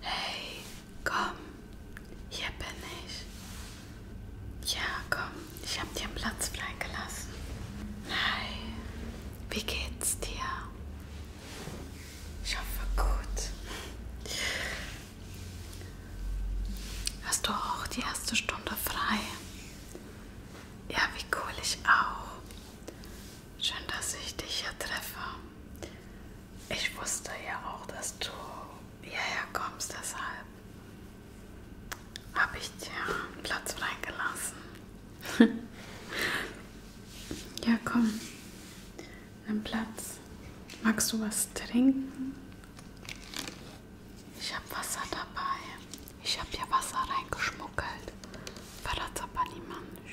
Hey, komm, hier bin ich. Ja, komm, ich hab dir einen Platz freigelassen. Hi, wie geht's dir? Ich hoffe gut. Hast du auch die erste Stunde frei? Ja, wie cool ich auch. Schön, dass ich dich hier treffe. Ich wusste ja auch, dass du hierher kommst, deshalb habe ich dir einen Platz freigelassen. ja, komm, nimm Platz. Magst du was trinken? Ich habe Wasser dabei. Ich habe ja Wasser reingeschmuggelt. Verrat's aber niemand.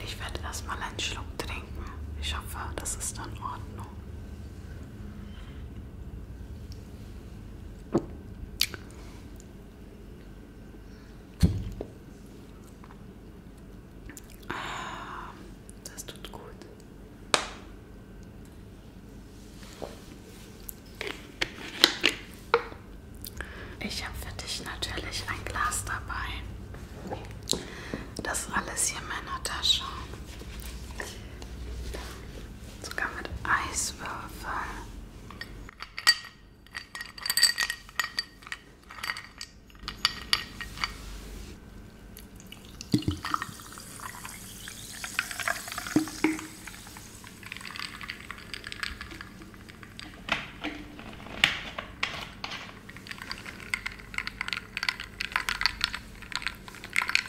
Ich werde erstmal einen Schluck trinken. Ich hoffe, das ist in Ordnung. Ah, das tut gut. Ich habe für dich natürlich ein Glas dabei. Das ist alles hier in meiner Tasche. Sogar mit Eiswürfeln.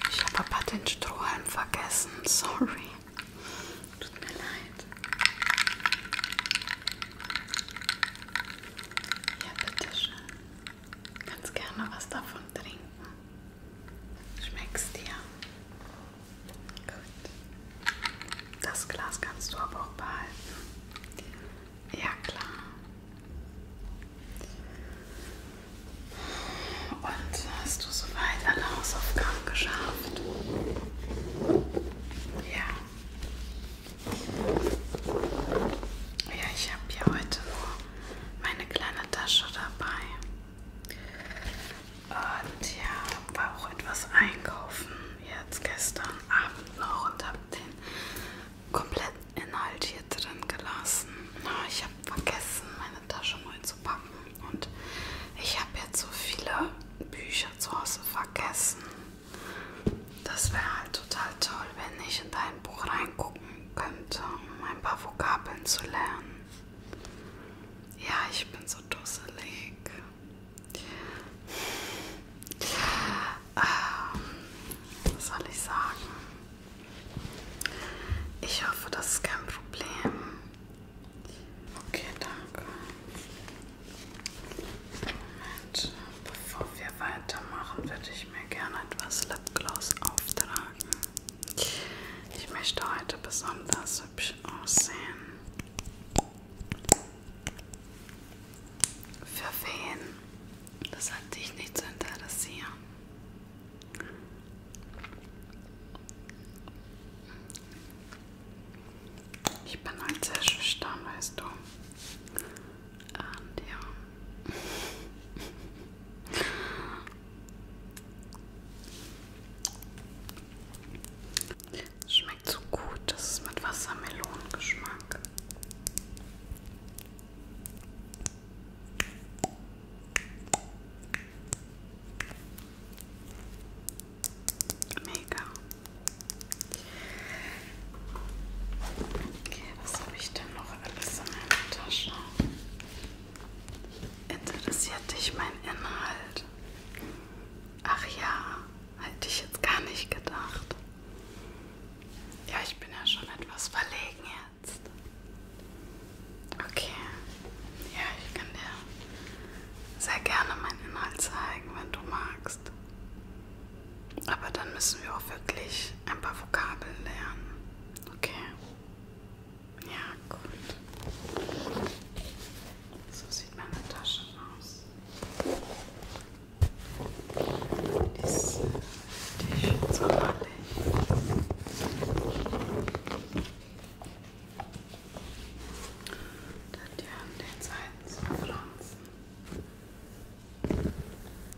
Ich habe aber den Strohhalm vergessen, sorry. Tut mir leid. Ja, bitteschön. Ganz gerne was davon trinken. Schmeckst dir? Gut. Das Glas kannst du aber auch behalten. Ja, klar. Und hast du soweit alle Hausaufgaben geschafft? Ja. Ja, ich habe hier heute nur meine kleine Tasche dabei. Und ja, war auch etwas einkaufen jetzt gestern Abend noch und habe den kompletten Inhalt hier drin gelassen. Ich habe vergessen, meine Tasche neu zu packen und ich habe jetzt so viele Bücher zu Hause vergessen. Das wäre halt total toll, wenn ich in dein Buch reingucken könnte, um ein paar Vokabeln zu lernen. Ja, ich bin so dusselig. Ähm, was soll ich sagen? Ich hoffe, das ist kein Problem. Okay, danke. Moment bevor wir weitermachen, würde ich mir gerne etwas Lipgloss auftragen. Ich möchte heute besonders hübsch aussehen. Für wen? Das hat dich nicht zu interessieren. Ich bin halt sehr schüchtern, weißt du. Und ja. Es schmeckt so gut, das ist mit Wassermelonengeschmack. Mega. Okay, was habe ich denn noch alles in meiner Tasche? Interessiert dich mein Inhalt? Ach ja, hätte ich jetzt gar nicht gedacht. Ja, ich bin ja schon etwas verlegen jetzt. Okay. Ja, ich kann dir sehr gerne meinen Inhalt zeigen, wenn du magst. Aber dann müssen wir auch wirklich ein paar Vokabeln lernen. Okay. Ja, gut. So sieht meine Tasche aus. Die ist, äh, die ist so die an den Seiten so Pflanzen.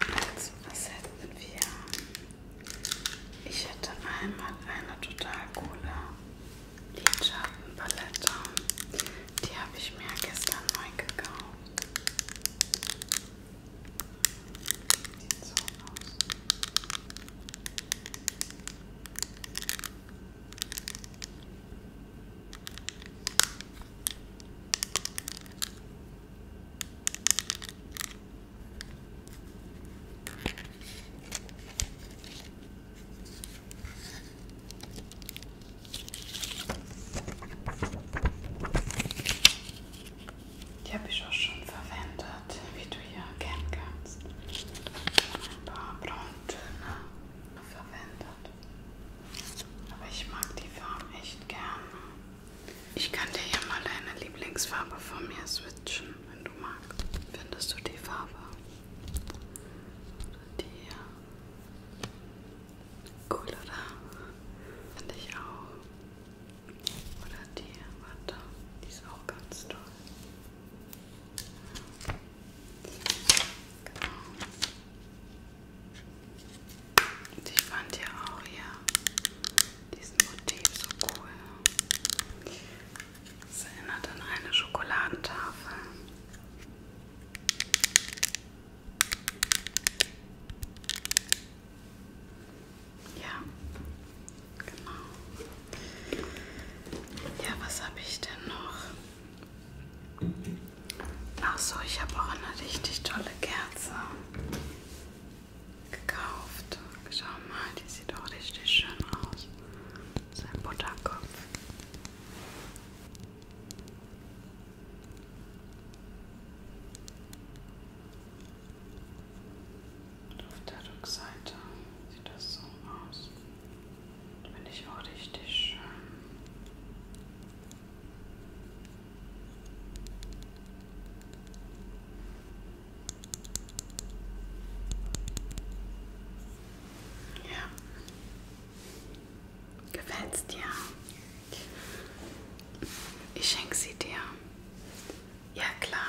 Also, was hätten wir? Ich hätte einmal eine total coole Lidschattenpalette. Die habe ich mir gestern neu gekauft. Sieht so aus. Die habe ich auch schon verwendet, wie du hier erkennen kannst. Ein paar brauntöne verwendet. Aber ich mag die Farbe echt gerne. Ich kann dir ja mal deine Lieblingsfarbe von mir switchen, wenn du magst. Findest du die Farbe? Die hier. Cool, oder? Finde ich auch. Oder die, warte, die ist auch ganz toll. Genau. Und ich fand ja auch hier ja, diesen Motiv so cool. Es erinnert an eine Schokoladentafel. Ja, genau. Ja, was habe ich denn noch? Ach so, ich habe auch eine richtig tolle Kerze gekauft. Schau mal, die sieht auch richtig schön aus. Das ist ein Butterkopf. Und auf der Rückseite sieht das so aus. Finde ich auch richtig schön. Ja. Gefällt's dir? Ich schenke sie dir. Ja klar.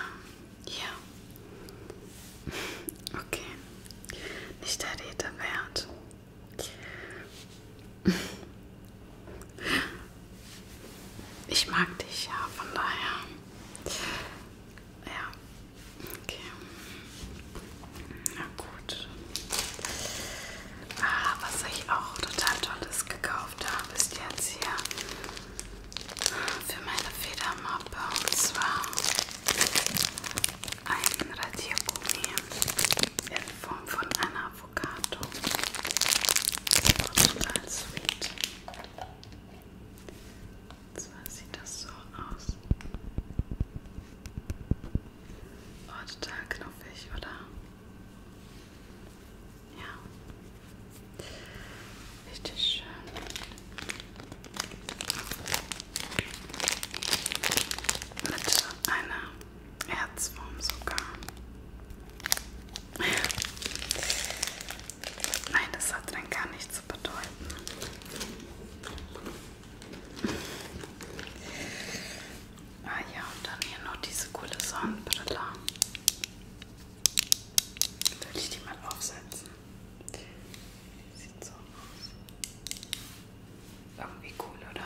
Ja. Okay. Nicht der Rede wert. Ich mag dich, ja, von daher. Ja, okay. Na gut. Ah, was ich auch total tolles gekauft habe, ist jetzt hier für meine Federmappe und zwar ein Radiergummi in Form von einer Avocado. Und total sweet. Und zwar sieht das so aus. Oh, total knuffig, oder? Ja. Richtig schön. Mit einer Herzform sogar. Nein, das hat dann gar nichts zu bedeuten. Ah ja, und dann hier noch diese coole Sonnenbrille. Würde ich die mal aufsetzen? Sieht so aus. Irgendwie cool, oder?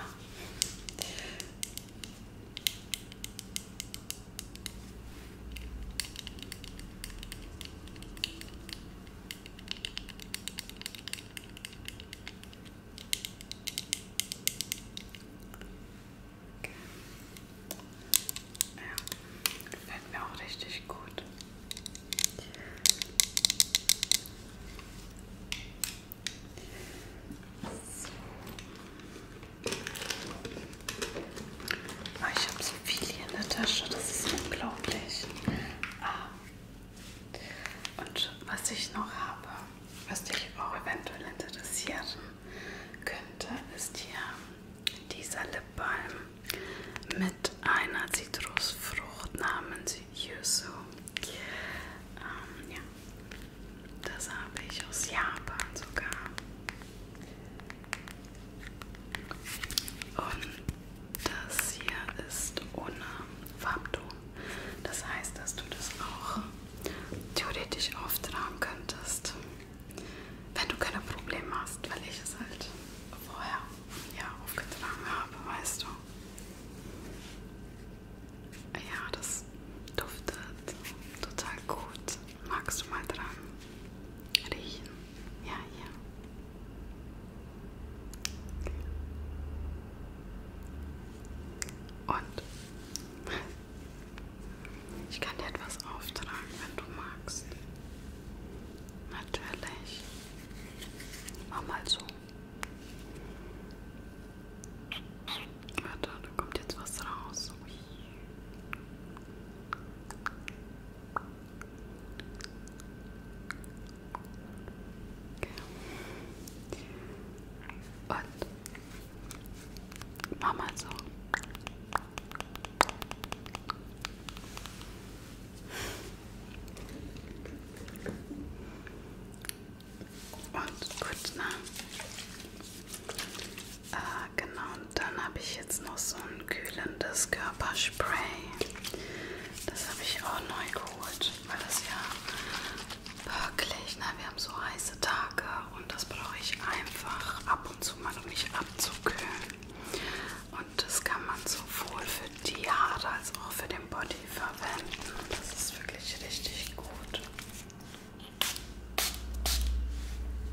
Okay. Ja, gefällt mir auch richtig gut. So. Oh, ah, ich habe so viel hier in der Tasche, das ist unglaublich. Ah. Und was ich noch habe, was dich auch eventuell interessieren könnte, ist hier dieser Lipbalm mit einer Zitrusfrucht namens Yuzu. Ähm, ja, das habe ich aus Japan sogar. Und das hier ist ohne Farbton. Das heißt, dass du das auch theoretisch auftragen könntest, wenn du keine Probleme hast, weil ich es halt vorher ja, aufgetragen habe, weißt du. Ja, das duftet total gut. Magst du mal dran riechen? Ja, ja. Und ich kann dir etwas auftragen, wenn du magst. Natürlich. Mach mal so. Warte, da kommt jetzt was raus. Ui. Okay. Und mach mal so. Und gut, ne? Äh, genau, und dann habe ich jetzt noch so ein kühlendes Körperspray. Das habe ich auch neu geholt, weil das ja wirklich, ne, wir haben so heiße Tage und das brauche ich einfach ab und zu mal, um mich abzukühlen. Und das kann man sowohl für die Haare als auch für den Body verwenden. Das ist wirklich richtig gut.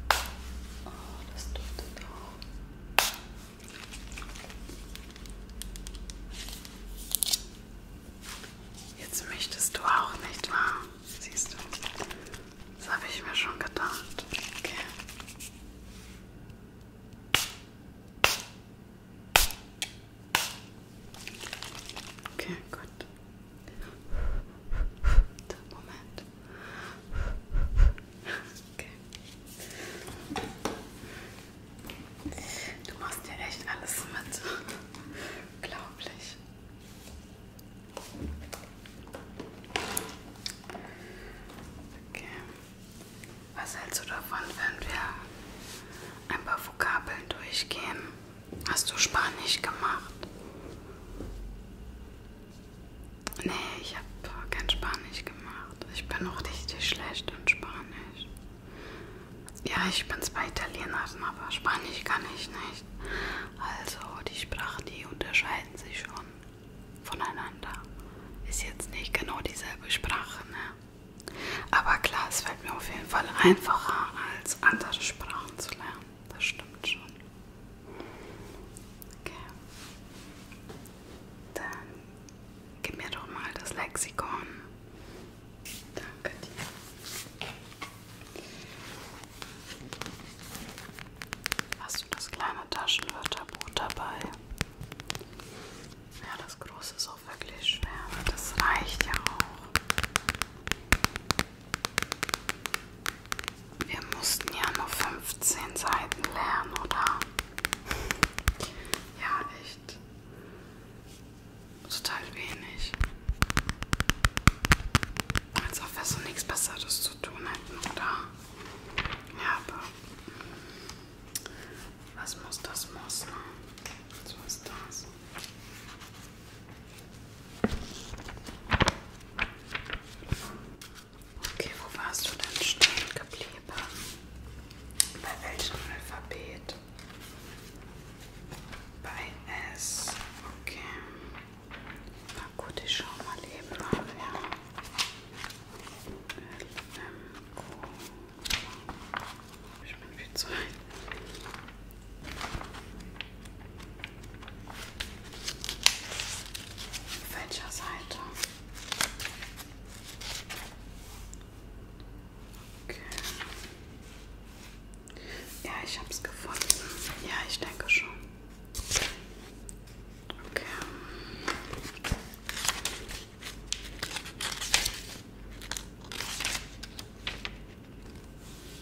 Oh, das duftet auch. Jetzt möchtest du auch nicht wahr? Siehst du? Das habe ich mir schon gedacht. Okay. Okay, gut. Moment. Okay. Du machst dir echt alles mit. Unglaublich. Okay. Was hältst du davon, wenn wir ein paar Vokabeln durchgehen? Hast du Spanisch gemacht? Nee, ich habe kein Spanisch gemacht. Ich bin auch richtig schlecht in Spanisch. Ja, ich bin zwar Italienerin, aber Spanisch kann ich nicht. Also die Sprachen, die unterscheiden sich schon voneinander. Ist jetzt nicht genau dieselbe Sprache, ne? Aber klar, es fällt mir auf jeden Fall einfacher als andere Sprachen zu lernen. Das stimmt schon. Okay. Dann gib mir doch mal das Lexikon. Danke dir. Hast du das kleine Taschenwörterbuch dabei? Ja, das große ist auch wirklich schwer, aber das reicht ja auch. Wir mussten ja nur 15 Seiten lernen, oder? ja, echt. Total wenig. Als ob wir so nichts Besseres zu tun hätten, oder? Ja, aber was muss, das muss. Ne? So ist das. Okay, wo warst du denn stehen geblieben? Bei welchem Alphabet? Bei S. Okay. Na gut, ich schau mal eben nach. Ja. L, M, Q. Ich bin viel zu ein. Auf welcher Seite? Okay. Ja, ich hab's gefunden. Ja, ich denke schon. Okay.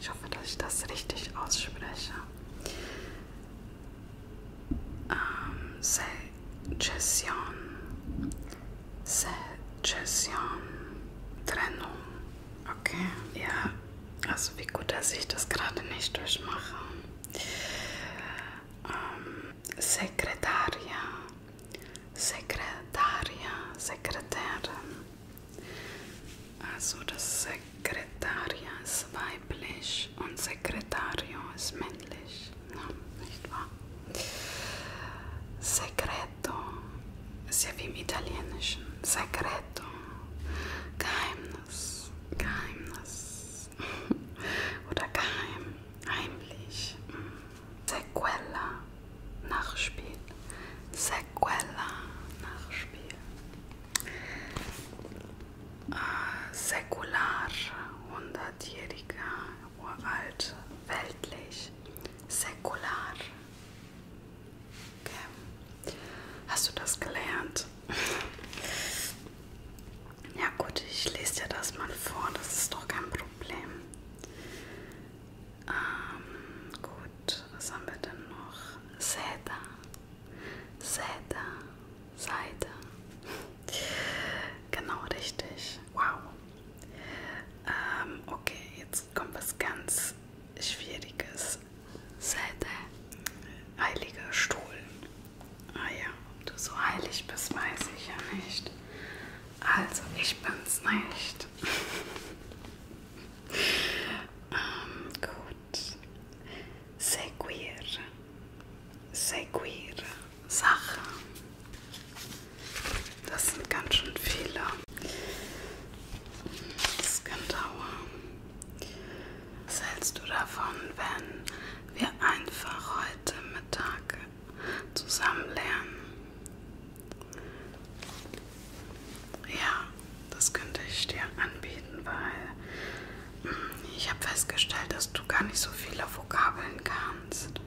Ich hoffe, dass ich das richtig ausspreche. Ähm, Secession. Secession. Trennung. Okay. Ja, also wie gut, dass ich das gerade nicht durchmache. Ähm, Sekretaria. Sekretaria. Sekretärin. Also das Sekretariat ist weiblich und Sekretario ist männlich, ja, nicht wahr? Secreto ist ja wie im Italienischen. Secreto, Geheimnis, Geheimnis oder geheim, heimlich. Sequela, Nachspiel. Se Sequela nachspielen. Äh, ah, säkular, hundertjähriger, uralt, weltlich, säkular. Okay. Hast du das gelernt? Ja gut, ich lese dir das mal vor, das ist doch kein Problem. Ähm, gut, was haben wir denn noch? Seda. Seda. Seite. Genau richtig. Wow. Ähm, okay, jetzt kommt was ganz Schwieriges. Seite. Heiliger Stuhl. Ah ja, ob du so heilig bist, weiß ich ja nicht. Also, ich bin's nicht. ähm, gut. Seguir. Seguir. Sache. Das sind ganz schön viele. Das kann dauern. Was hältst du davon, wenn wir einfach heute Mittag zusammen lernen? Ja, das könnte ich dir anbieten, weil hm, ich habe festgestellt, dass du gar nicht so viele Vokabeln kannst.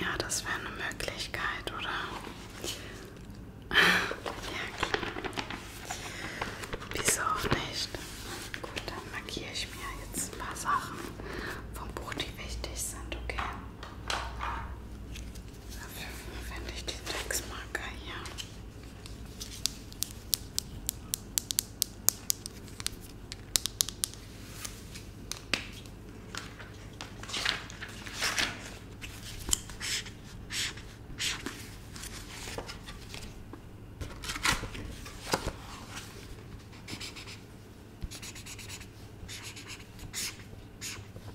Ja, das wäre eine Möglichkeit, oder? Ja, klar. Wieso auch nicht? Gut, dann markiere ich mir jetzt ein paar Sachen vom Buch, die wichtig sind, okay? Dafür verwende ich den Textmarker hier.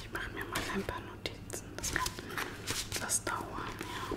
Ich mache mir mal ein paar Notizen. Das kann etwas dauern, ja.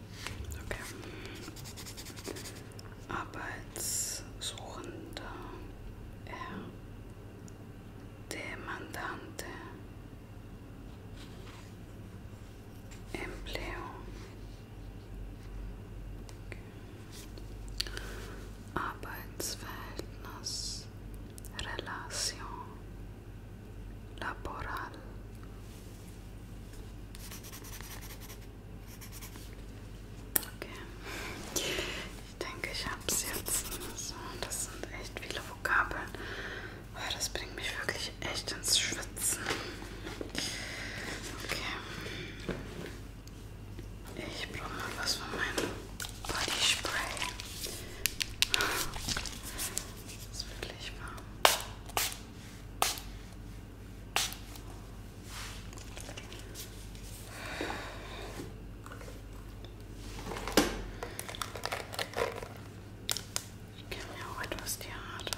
Okay. Arbeitssuchender er äh, demandante empleo okay. Arbeitsverhältnis Relation Laboral Okay. Ich denke, ich habe es jetzt. So, das sind echt viele Vokabeln. Oh, das bringt mich wirklich echt ins Schwitzen. Okay. Ich brauche mal was von meinem Body Spray. Das ist wirklich warm. Ich kenne ja auch etwas Theater.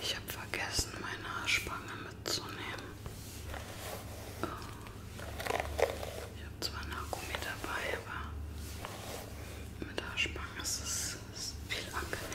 Ich habe vergessen, meine Haarspange mitzunehmen. Oh. Ich habe zwar einen Haargummi dabei, aber mit Haarspange ist es ist viel angenehmer.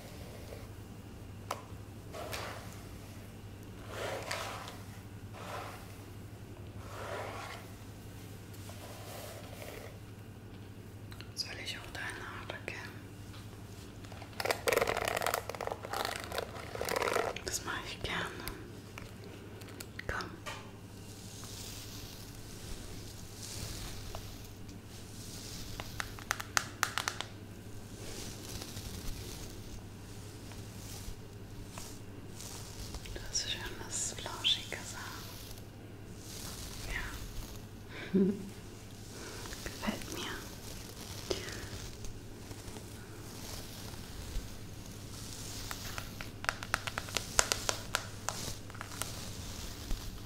Soll ich auch deine Haare kennen? Das mache ich gerne. Komm. Das ist schönes, flauschiges Haar. Ja. Gefällt mir.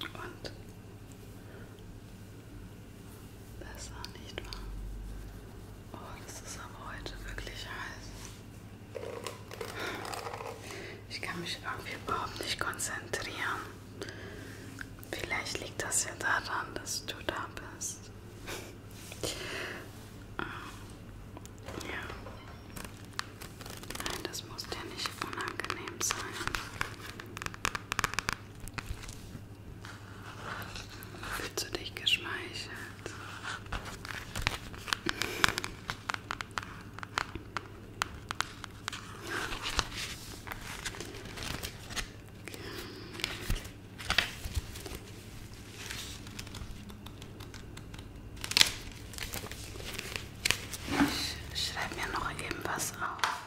Und besser, nicht wahr? Oh, das ist aber heute wirklich heiß. Ich kann mich irgendwie überhaupt nicht konzentrieren. Vielleicht liegt das ja daran, dass du da bist. Ja. Nein, das muss dir nicht unangenehm sein. Fühlst du dich geschmeichelt? Ich schreibe mir noch eben was auf.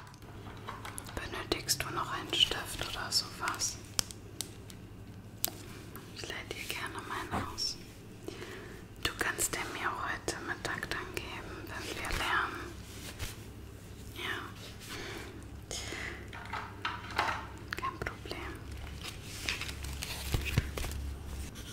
Benötigst du noch einen Stift oder sowas? Ich leite dir gerne meinen aus. Du kannst den mir heute Mittag dann geben, wenn wir lernen. Ja. Kein Problem.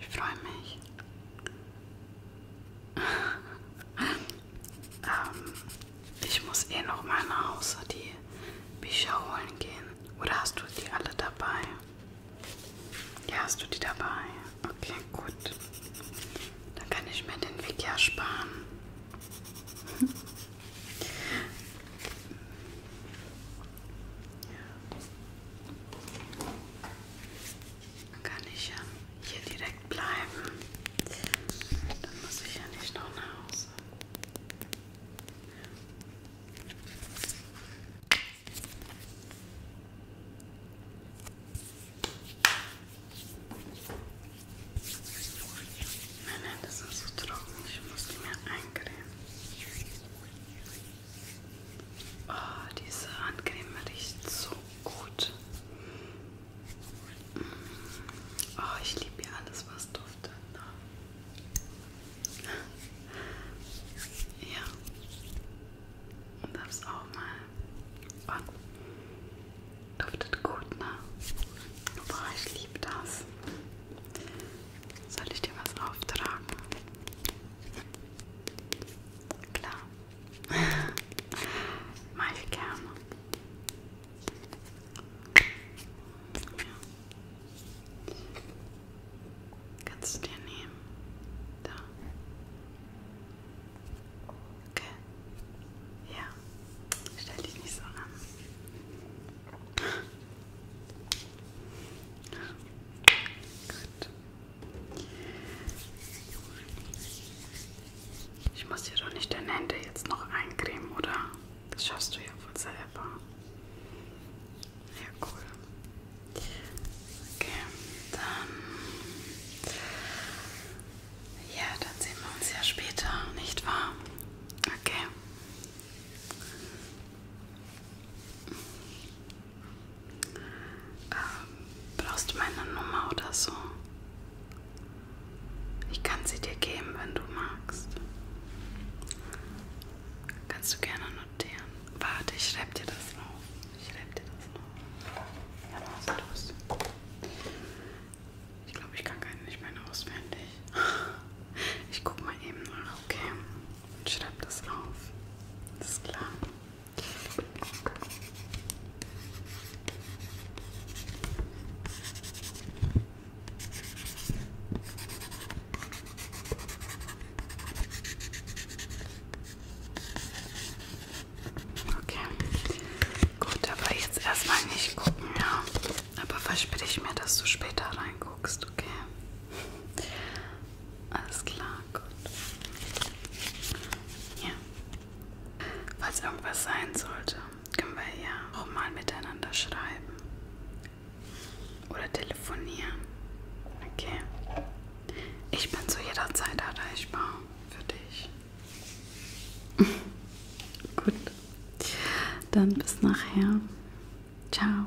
Ich freue mich. ähm, ich muss eh noch mal nach Hause die Bücher holen gehen. Oder hast du die alle dabei? Ja, hast du die dabei? Okay, gut. Dann kann ich mir den Weg ja sparen. Dann kann ich ja hier direkt bleiben. Dann muss ich ja nicht noch nach Hause. Nein, nein, das ist so trocken. Ich muss die mir eincremen. Oh, diese Handcreme riecht so gut. Oh, ich liebe ja alles, was duftet. Ne? Ja. Und das auch mal. Und duftet gut, ne? Boah, ich liebe das. Soll ich dir was auftragen? Klar. Mach ich gerne. Ja. Kannst du dir nehmen? Da. Okay. Ja. Stell dich nicht so an. Gut. Ich muss dir doch nicht deine Hände jetzt noch eincremen, oder? Das schaffst du ja wohl selber. Ja, cool. Okay, dann. Ja, dann sehen wir uns ja später, nicht wahr? Okay. Ähm, brauchst du meine Nummer oder so? Ich kann sie dir geben, wenn du magst. Kannst du gerne notieren. Warte, ich schreib dir das auf. Ich schreib dir das auf. Ja, was los? Ich glaube, ich kann keinen nicht mehr auswendig. Ich guck mal eben nach, okay? Und schreib das auf. Das ist klar. Okay. Gut, aber jetzt erstmal nicht gucken, ja. Aber verspreche ich mir, dass du später reinguckst, okay? Alles klar, gut. Ja. Falls irgendwas sein sollte, können wir ja auch mal miteinander schreiben. Oder telefonieren. Okay. Ich bin zu jeder Zeit erreichbar für dich. Gut. Dann bis nachher. Ciao.